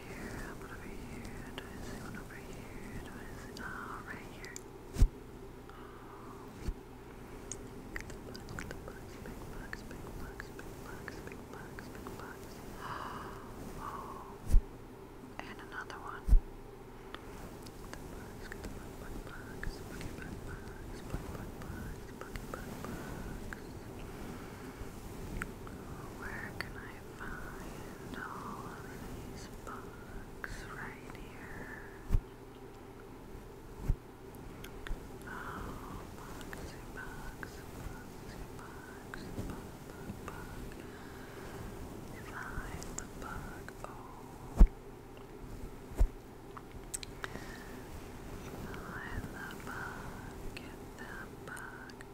here, over here, do I see over here, do I see, right here. Oh, look at big bugs, big bugs, big bugs, big bugs, big bugs, big bugs. Oh, and another one. The bugs, the bug, bug, bugs, buggy, bug, bugs, bug, bug, bugs, buggy, bug, bugs. Where can I find all these books right here. Oh, boxy, box, boxy, box, book, book, book. Find the book. Oh. Find the bug, get that bug,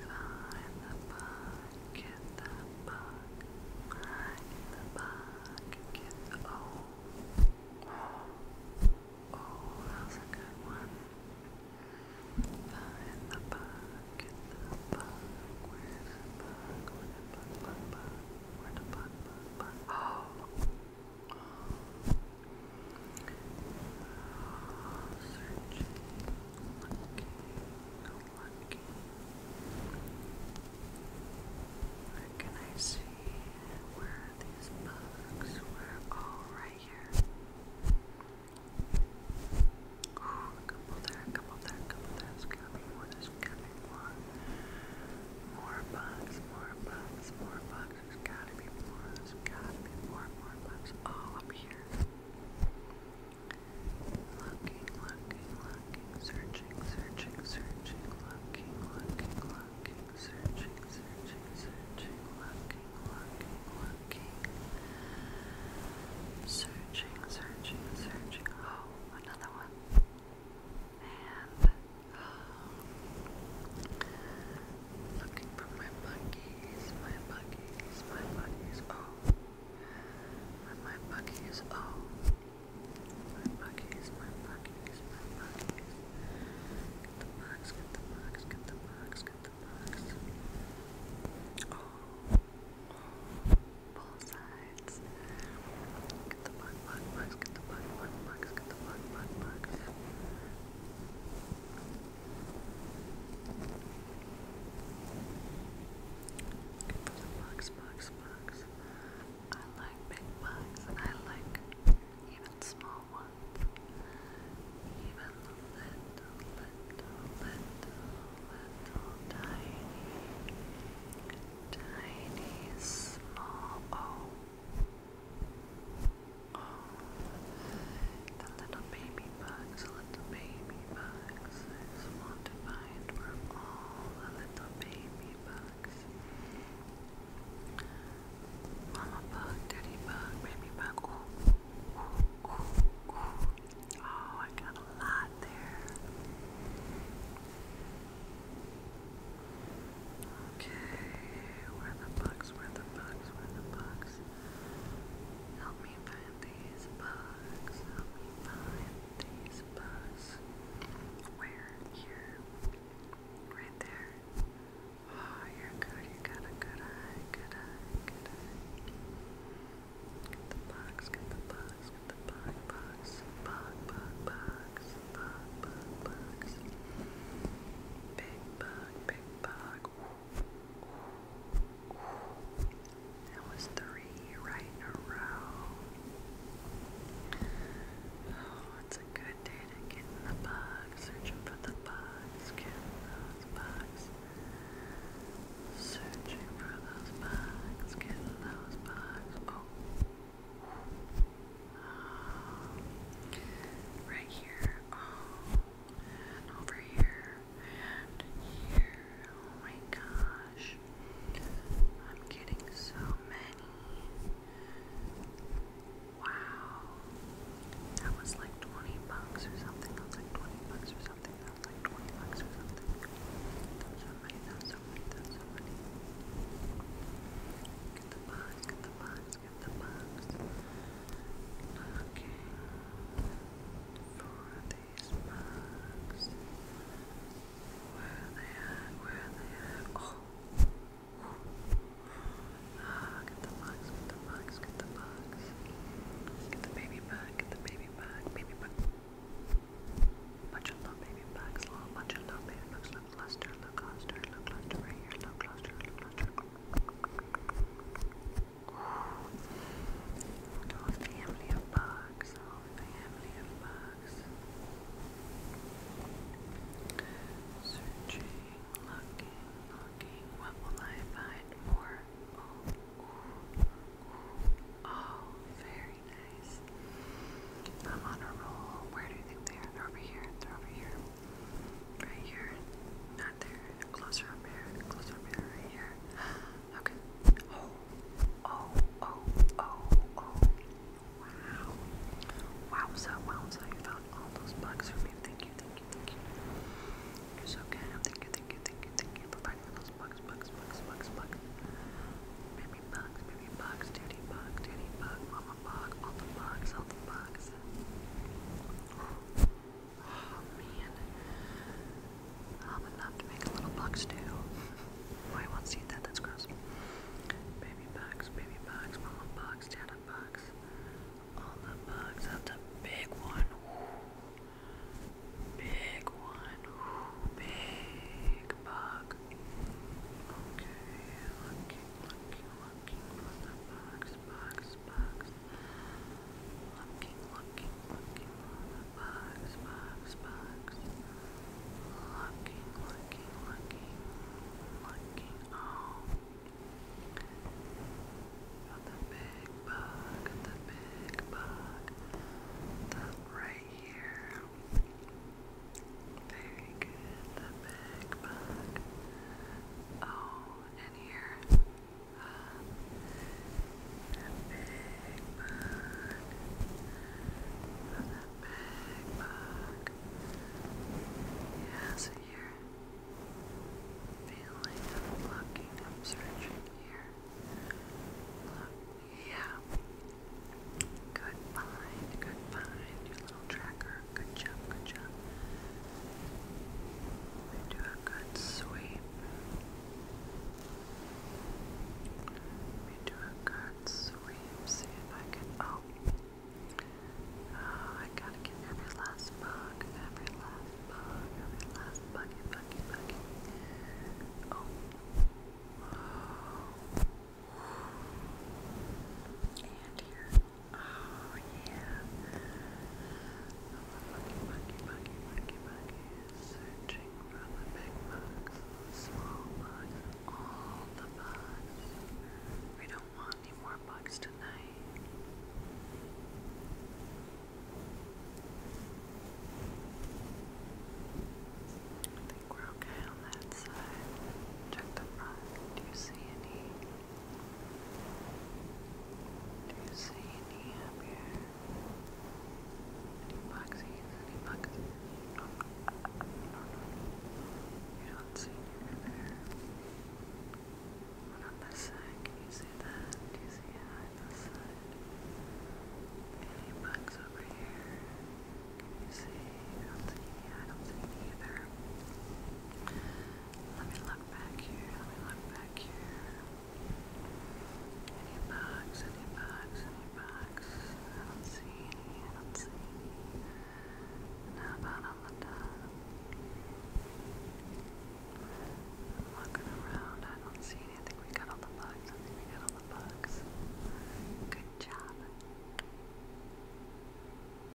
Find the bug, get the bug, find the bug, get the oh. Oh, that's a good one. Find the bug, get the bug, where's the bug, where the bug, bug, bug, where the bug, oh. Oh. Searching, lucky, lucky. Where can I see? Where these bugs? Where? Oh, here. Ooh, a there, a couple there, a couple there. There's more, there's more. More bugs, more bugs, more bugs. There's gotta be more, there's gotta be more, more bugs. Oh, up here. Looking, looking, looking, searching, searching, searching, looking, looking, looking, searching, searching, searching, looking, looking, looking, searching, searching, searching. Oh, another one. And um, looking for my buggies, my buggies, my buggies, oh, my buggies, oh, my buggies, my buggies, my buggies, get the bugs, get the bugs, get the bugs, get the bugs, oh, oh, both sides, get the bug, bug, bugs, get the bug, bug, bugs, get the bug, bug, bugs, for the bugs, I like big bugs. I like even small ones. Even little, little, little, little tiny, tiny, small. Oh. Oh, the little baby bugs, little baby bugs. want to find where all the little baby bugs. Mama bug, daddy bug, baby bug. Ooh, ooh, ooh, ooh. Oh, I got a lot there. Okay, where the bugs, where the bugs, where the bugs. Help me find these bugs. Help me find these bugs. Where? Here. Right there. Oh, you're good. You got a good eye. Good eye. Good Get the bugs. Get the bugs. Get the bug. Bugs. Bug. Bug. Bugs. Bugs. Big bug. Big bug that was three right in a row. Oh, it's a good day to get in the bug, searching for the bugs, getting those bugs, searching for those bugs, getting those bugs. Oh. Um, right here. Oh, over here, and here. Oh my gosh, I'm getting so many. Wow, that was like 20 bucks or something. That was like 20 bucks or something. That was like 20 bucks or something. That was so many, so many, Let's get the box. Looking for these bugs. Where are they at? Where are they at? Oh! Ah, get the bugs, get the bugs, get the bugs. Get the baby bug, get the baby bug, baby bug. Bunch of little baby bugs, little bunch of little baby bugs. Look, cluster, look, cluster, look, cluster right here, look, cluster, look, cluster. Oh, family of bugs. Oh, family of bugs. Searching, looking, looking. What will I find Oh, oh, very nice. I'm on a roll. Where do you think they are? They're over here. They're over here. Right here there. Closer up here. Closer up here. Okay. Oh. Oh. Oh. Oh. Oh. Wow. Wowza. Wowza. You found all those bugs for me. Thank you. Thank you. Thank you. You're so good. Thank you. Thank you. Thank you. Thank you for finding those bugs. Bugs. Bugs. Bugs. Bugs. Baby bugs. Baby bugs. Daddy bug. Daddy bug. Mama bug. All the bugs. All the bugs. Oh man. Um, enough to make a little bucks do. Oh, won't see that, that's gross. Baby bugs, baby bugs, mama bugs, dada bugs. All the bugs, that's a big one. Big one. Big bug. Okay, looking, looking, looking for the bugs, bugs, Looking, looking, looking on the box, box, box. Looking, looking, looking, looking. Oh. Got the big bug, the big bug. The right here. Very the big bug. Oh, in here. big bug. big bug. Yeah, so feeling, I'm looking, i here. yeah. Good find, good find, your little tracker. Good job, good job. We do a good sweep. We do a good sweep. See if I can. Oh. Ah, I gotta get every last bug, every last bug, every last buggy, buggy, buggy. Oh. And here. Oh yeah. Monkey, monkey, monkey, monkey, monkey. Searching for the big bugs, small bugs, all the bugs. We don't want any more bugs tonight. I think we're okay on that side. Check the front. Do you see any? Do you see any up here? Any boxes? Any boxes? No, no, no. You don't see any there. And on this side, can you see that? Do you see it on this side? Any bugs over here? Can you see? I don't see any. I don't see any either. Let me look back here. Let me look back here. Any bugs? Any bugs? Any bugs? I do see any. I see any. about on the top? looking around. I don't see any. we got all the bugs. we got all the bugs. Good job.